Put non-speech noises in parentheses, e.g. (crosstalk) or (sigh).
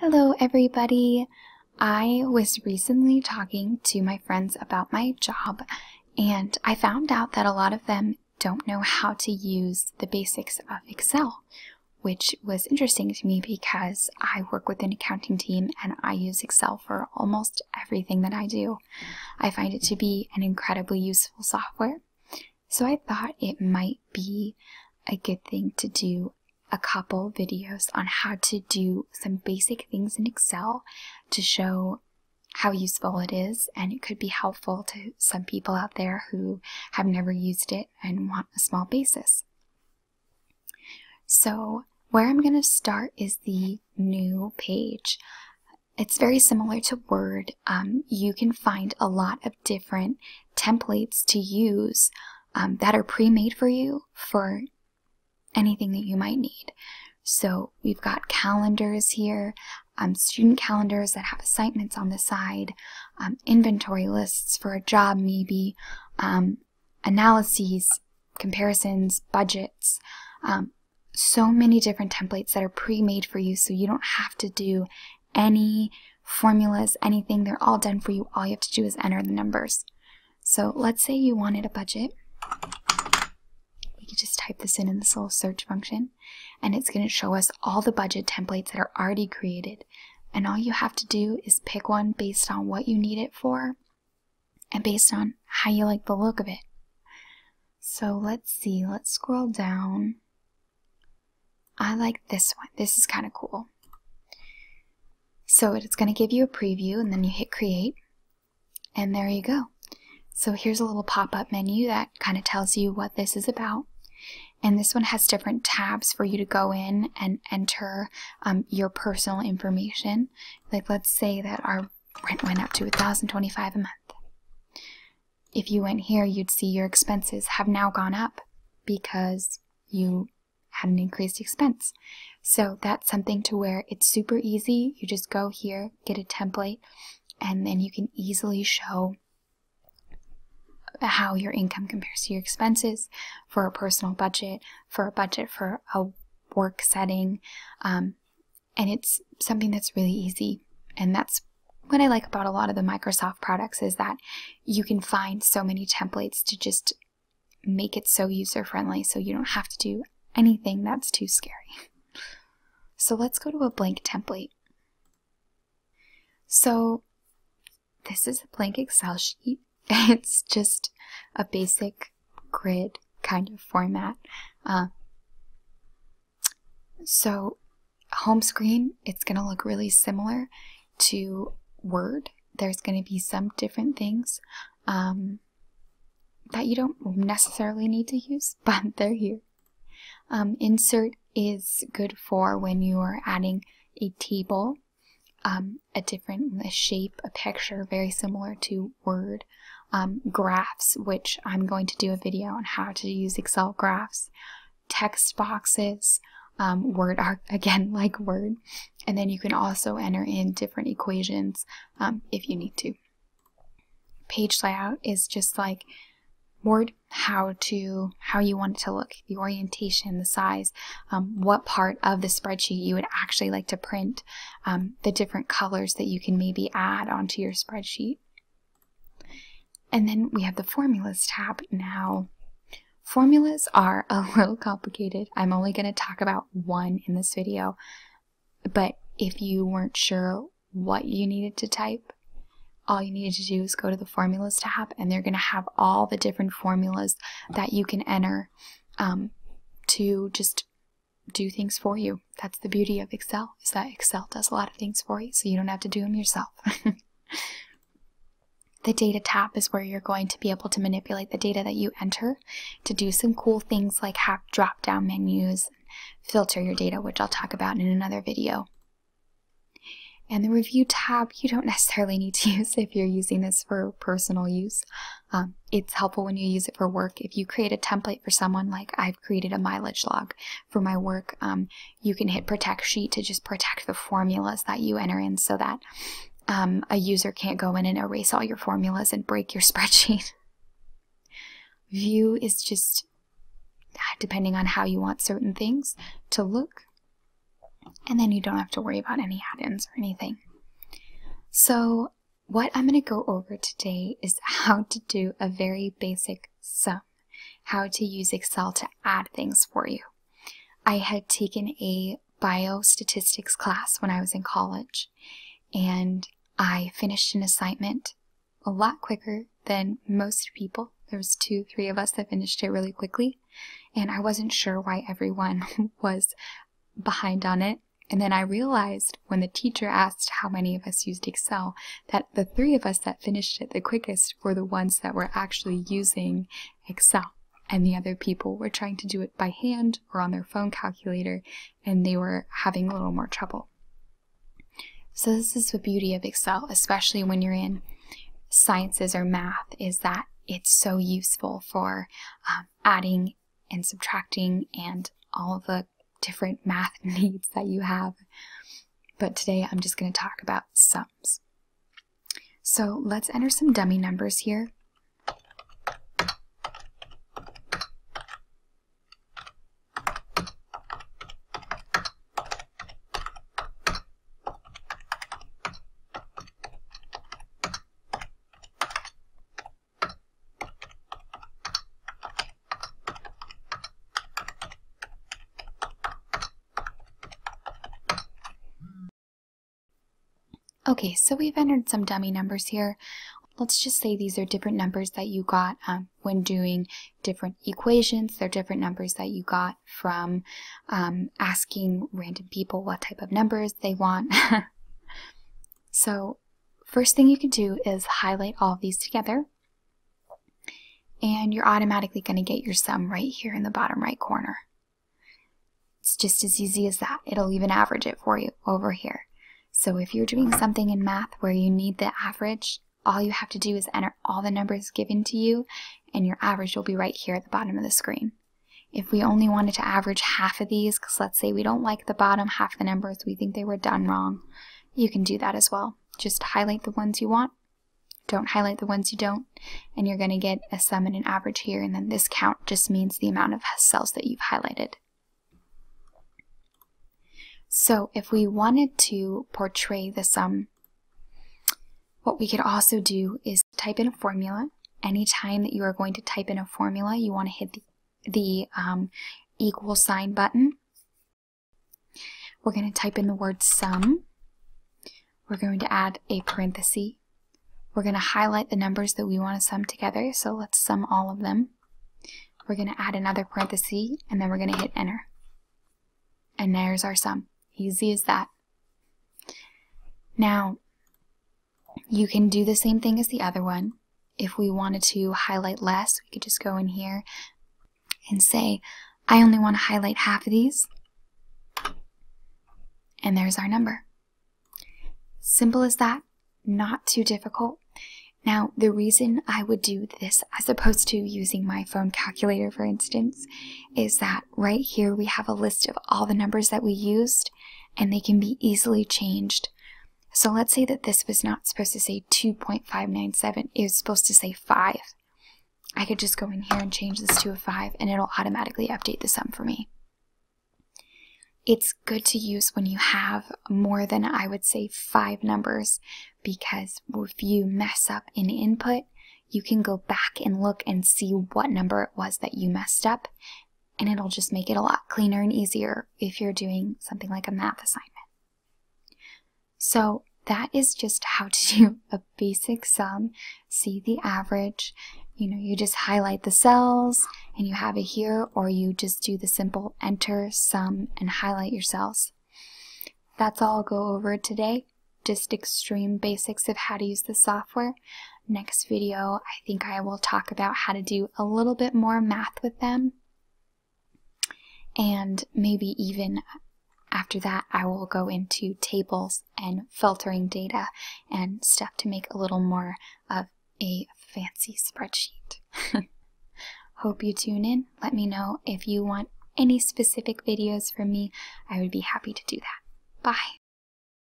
Hello, everybody. I was recently talking to my friends about my job, and I found out that a lot of them don't know how to use the basics of Excel, which was interesting to me because I work with an accounting team and I use Excel for almost everything that I do. I find it to be an incredibly useful software. So I thought it might be a good thing to do a couple videos on how to do some basic things in Excel to show how useful it is and it could be helpful to some people out there who have never used it and want a small basis. So where I'm going to start is the new page. It's very similar to Word. Um, you can find a lot of different templates to use um, that are pre-made for you for anything that you might need. So we've got calendars here, um, student calendars that have assignments on the side, um, inventory lists for a job maybe, analyses, comparisons, budgets, so many different templates that are pre-made for you so you don't have to do any formulas, anything, they're all done for you. All you have to do is enter the numbers. So let's say you wanted a budget. We can just type this in in this little search function, and it's going to show us all the budget templates that are already created. And all you have to do is pick one based on what you need it for and based on how you like the look of it. So let's see, let's scroll down. I like this one. This is kind of cool. So it's going to give you a preview and then you hit create and there you go. So here's a little pop-up menu that kind of tells you what this is about. And this one has different tabs for you to go in and enter um, your personal information. Like let's say that our rent went up to 1025 a month if you went here, you'd see your expenses have now gone up because you had an increased expense. So that's something to where it's super easy. You just go here, get a template, and then you can easily show how your income compares to your expenses for a personal budget, for a budget for a work setting. Um, and it's something that's really easy. And that's what I like about a lot of the Microsoft products is that you can find so many templates to just make it so user friendly so you don't have to do anything that's too scary. (laughs) So let's go to a blank template. So this is a blank Excel sheet. (laughs) It's just a basic grid kind of format. Uh, so home screen it's going to look really similar to word there's going to be some different things um, that you don't necessarily need to use (laughs) but they're here um, insert is good for when you are adding a table um, a different a shape a picture very similar to word graphs which i'm going to do a video on how to use excel graphs text boxes, um, Word, (laughs) again, like Word. And then you can also enter in different equations um, if you need to. Page layout is just like Word, how to how you want it to look, the orientation, the size, um, what part of the spreadsheet you would actually like to print, um, the different colors that you can maybe add onto your spreadsheet. And then we have the formulas tab now. Formulas are a (laughs) little complicated. I'm only going to talk about one in this video, but if you weren't sure what you needed to type, all you needed to do is go to the formulas tab and they're going to have all the different formulas that you can enter um, to just do things for you. That's the beauty of Excel, is that Excel does a lot of things for you, so you don't have to do them yourself. (laughs) the data tab is where you're going to be able to manipulate the data that you enter to do some cool things like have drop down menus, filter your data, which I'll talk about in another video. And the review tab, you don't necessarily need to (laughs) use if you're using this for personal use. Um, it's helpful when you use it for work. If you create a template for someone, like I've created a mileage log for my work, um, you can hit protect sheet to just protect the formulas that you enter in so that um, a user can't go in and erase all your formulas and break your (laughs) spreadsheet. View is just uh, depending on how you want certain things to look, and then you don't have to worry about any add ins or anything. So, what I'm going to go over today is how to do a very basic sum, how to use Excel to add things for you. I had taken a biostatistics class when I was in college, and I finished an assignment a lot quicker than most people. There was two, three of us that finished it really quickly, and I wasn't sure why everyone (laughs) was behind on it. And then I realized when the teacher asked how many of us used Excel that the three of us that finished it the quickest were the ones that were actually using Excel. And the other people were trying to do it by hand or on their phone calculator, and they were having a little more trouble. So, this is the beauty of Excel, especially when you're in sciences or math, is that it's so useful for um, adding and subtracting and all the different math (laughs) needs that you have. But today I'm just going to talk about sums. So let's enter some dummy numbers here. Okay, so we've entered some dummy numbers here. Let's just say these are different numbers that you got um, when doing different equations. They're different numbers that you got from um, asking random people what type of numbers they want. (laughs) so first thing you can do is highlight all of these together. And you're automatically going to get your sum right here in the bottom right corner. It's just as easy as that. It'll even average it for you over here. So if you're doing something in math where you need the average, all you have to do is enter all the numbers given to you and your average will be right here at the bottom of the screen. If we only wanted to average half of these, because let's say we don't like the bottom half the numbers we think they were done wrong. You can do that as well. Just highlight the ones you want, don't highlight the ones you don't, and you're going to get a sum and an average here, and then this count just means the amount of cells that you've highlighted. So if we wanted to portray the sum, what we could also do is type in a formula. Anytime that you are going to type in a formula, you want to hit the the um, equal sign button. We're going to type in the word sum. We're going to add a parenthesis. We're going to highlight the numbers that we want to sum together, so let's sum all of them. We're going to add another parenthesis, and then we're going to hit enter. And there's our sum. Easy as that. Now, you can do the same thing as the other one. If we wanted to highlight less, we could just go in here and say, I only want to highlight half of these. And there's our number. Simple as that, not too difficult. Now, the reason I would do this as opposed to using my phone calculator, for instance, is that right here we have a list of all the numbers that we used and they can be easily changed so let's say that this was not supposed to say 2.597, it was supposed to say 5. I could just go in here and change this to a 5 and it'll automatically update the sum for me. It's good to use when you have more than I would say 5 numbers because if you mess up an input, you can go back and look and see what number it was that you messed up and it'll just make it a lot cleaner and easier if you're doing something like a math assignment. So that is just how to do a basic sum, see the average. You know, you just highlight the cells and you have it here, or you just do the simple enter, sum, and highlight your cells. That's all I'll go over today. Just extreme basics of how to use the software. Next video, I think I will talk about how to do a little bit more math with them. And maybe even after that, I will go into tables and filtering data and stuff to make a little more of a fancy spreadsheet. (laughs) Hope you tune in. Let me know if you want any specific videos from me. I would be happy to do that. Bye.